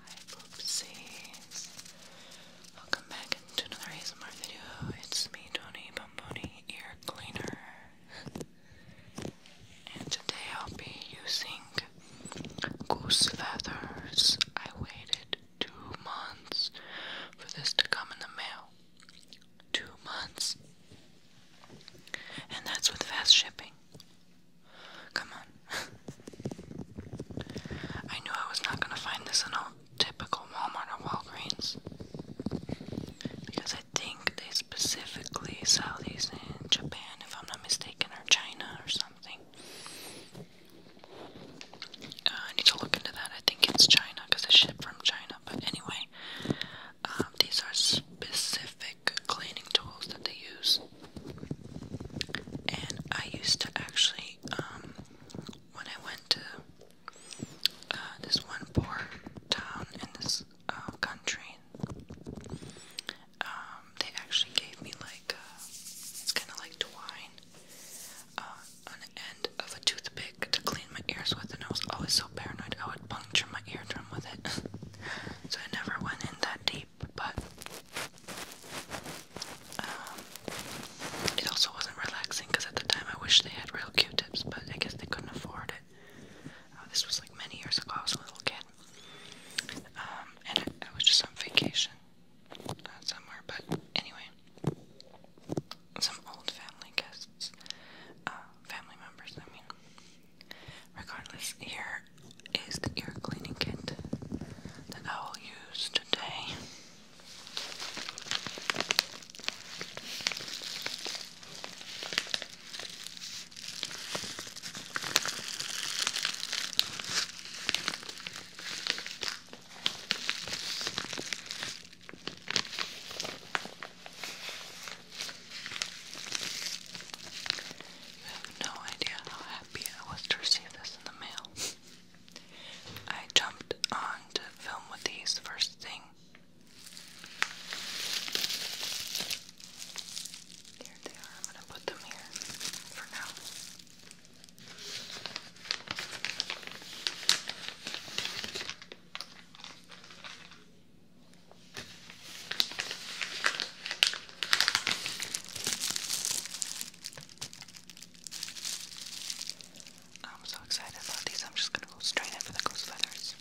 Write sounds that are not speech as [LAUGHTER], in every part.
Hi poopsies. Welcome back to another ASMR video. It's me, Tony Bomboni Ear Cleaner. And today I'll be using goose feathers. I waited two months for this to come in the mail. Two months. And that's with fast shipping. Come on. I knew I was not gonna find this in a typical Walmart or Walgreens. Because I think they specifically sell these in Japan, if I'm not mistaken, or China or something. Uh, I need to look into that. I think it's China because they ship from China. But anyway, um, these are specific like cleaning tools that they use. And I used to actually, um, when I went to uh, this one poor town in this uh, country, um, they actually gave me like, uh, it's kind of like twine uh, on the end of a toothpick to clean my ears with, and I was always so paranoid I would puncture my eardrum with it. [LAUGHS] so I never went in that deep but um, it also wasn't relaxing because at the time I wish they had real Q-tips, but I guess they couldn't afford it. Uh, this was like many years ago. I was a little kid, um, and I, was just on vacation uh, somewhere. But anyway, some old family guests, uh, family members. I mean, Regardless, here is the ear cleaning kit that I will use today. You have no idea how happy I was to receive this in the mail. I jumped on to film with these first thing. Here they are. I'm going to put them here for now. I'm so excited about these. I'm just going to go straight in for the ghost feathers.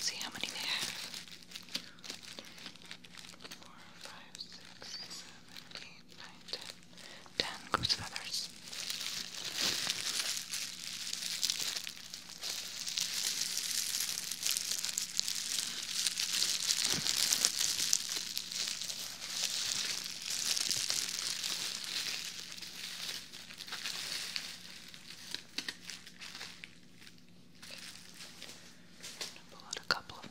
See how many they have. Four, five, six, seven, eight ten. Ten goose feathers. going to pull out a couple of them.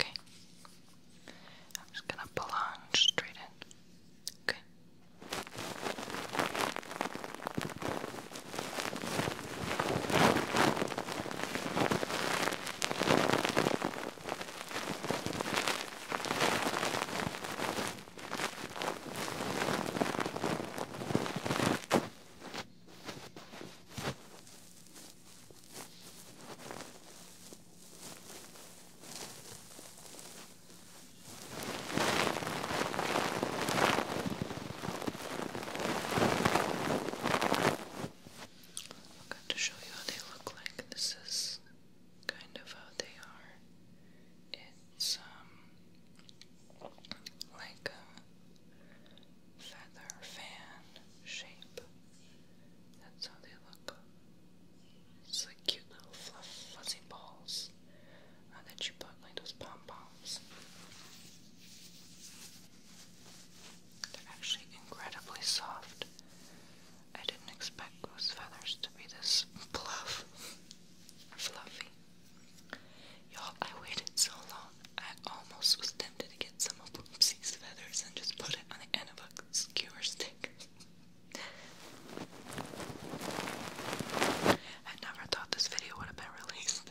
Okay. I'm just going to plunge straight in. Okay. I'm going to show you how they look like. This is kind of how they are. It's um like a feather fan shape. That's how they look. It's like cute little fluffy fuzzy balls uh, that you put like those pom poms. They're actually incredibly soft. I didn't expect those feathers to be this bluff, fluffy. Y'all, I waited so long, I almost was tempted to get some of Boopsy's feathers and just put it on the end of a skewer stick. I never thought this video would have been released.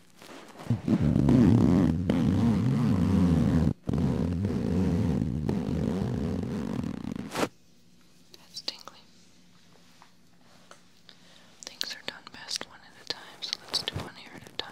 That's tingly. Things are done best one at a time, so let's do one here at a time.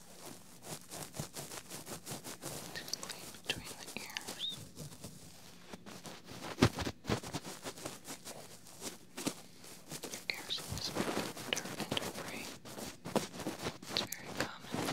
Tingly between the ears. Your ears will splinter and debris. It's very common and normal. Your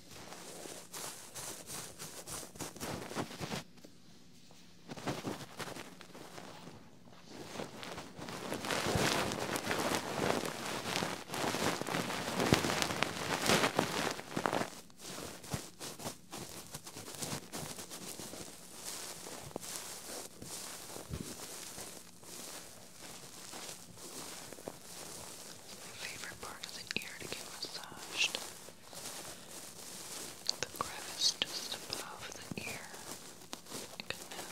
favorite part of the ear to get massaged. The crevice just above the ear. You can now.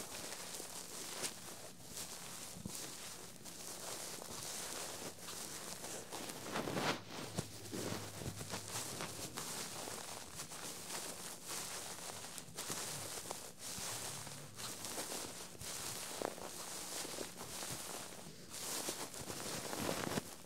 Now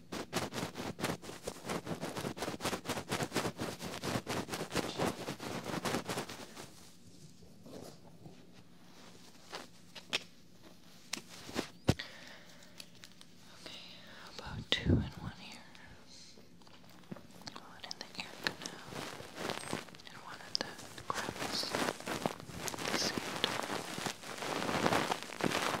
how about two and one here? One in the ear canal and one at the crevice at the same time.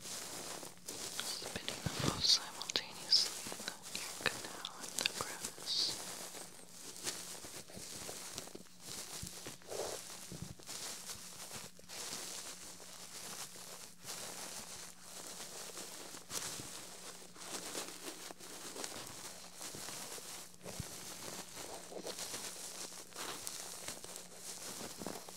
spitting them both simultaneously in the ear canal and the crevice. Now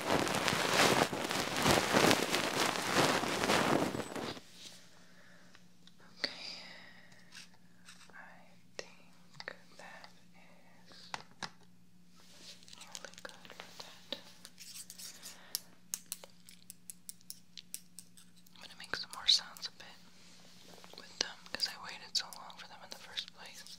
Okay, I think that is really good for that. I'm gonna make some more sounds a bit with them I waited so long for them in the first place.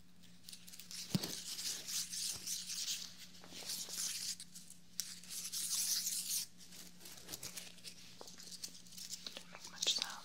Didn't make much sound.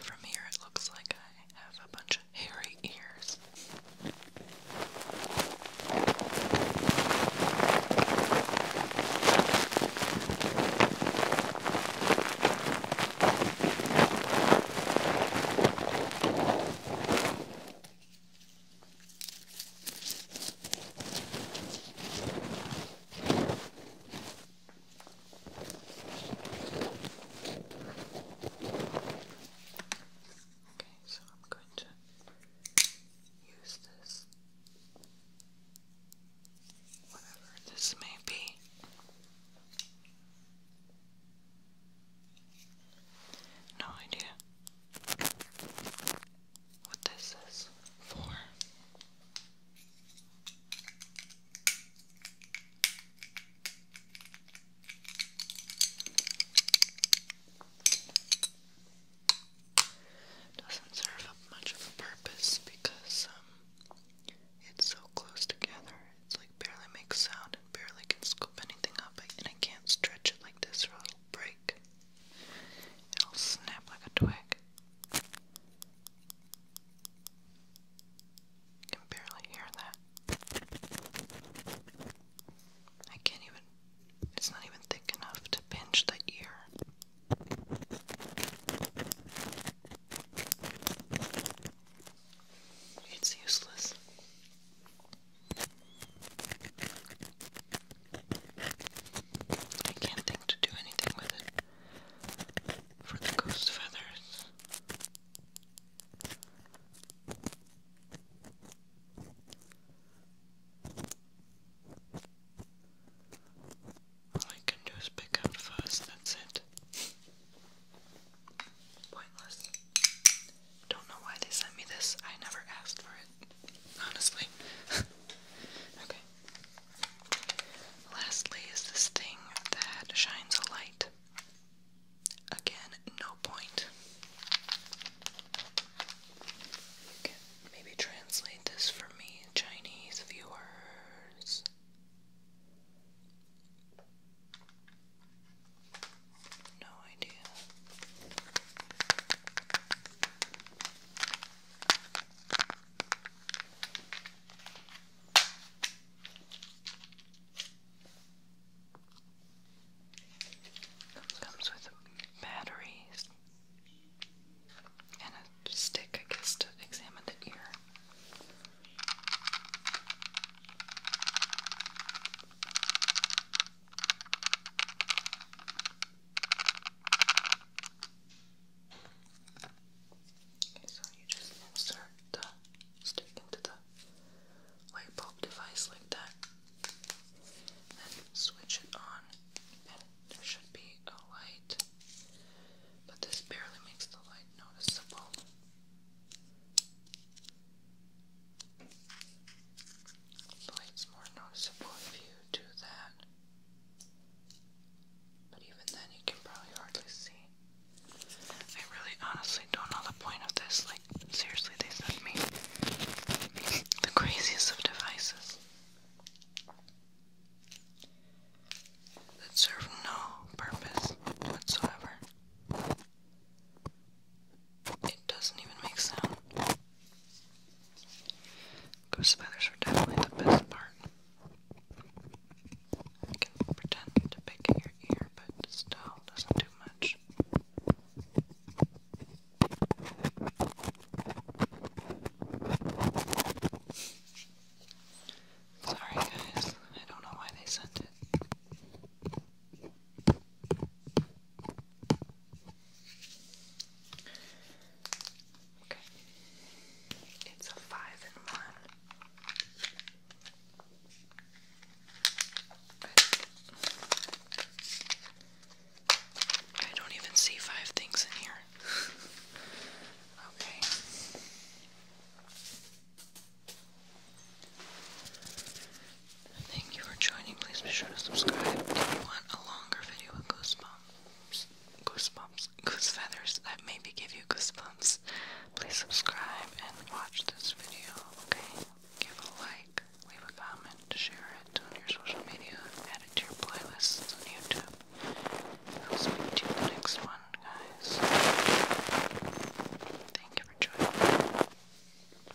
From here, it looks like I have a bunch of hairy ears. Okay, so I'm going to use this, whatever this may be, no idea what this is for. Doesn't serve much of a purpose because um it's so close together. It's like barely makes sound barely can scoop anything up, and I can't stretch it like this or it'll break. It'll snap like a twig. can barely hear that. I can't even, it's not even thick enough to pinch the ear. It's useless. I can't think to do anything with it for the ghost feathers. All I can do is pick out fuzz, that's it. Pointless. Don't know why they sent me this. I never asked for it. Honestly. [LAUGHS] okay. Lastly is this thing that shines a light. Again, no point. maybe translate this for me, Chinese viewers. No idea. Comes with batteries and a stick, I guess, to examine the ear so you just insert the stick into the light bulb device like that, then switch it on, and there should be a light. But this barely makes the light noticeable. It's more noticeable if you do that. But even then, you can probably hardly see. I really honestly don't know the point of this. Like, seriously, they sent me [LAUGHS] the craziest of devices that serve no purpose whatsoever. It doesn't even make sound. Ghost feathers are definitely the best part. You can pretend to pick at your ear, but it still doesn't do much. Sorry, guys. I don't know why they sent it. Okay. It's a five in one. I don't even see five things in here. [LAUGHS] okay. Thank you for joining. Please be sure to subscribe if you want a longer video with goosebumps, goosebumps, goose feathers that maybe give you goosebumps. Please subscribe and watch this video, okay? Give a like, leave a comment, share it on your social media, add it to your playlists on YouTube. I'll speak you in the next one, guys. Thank you for joining.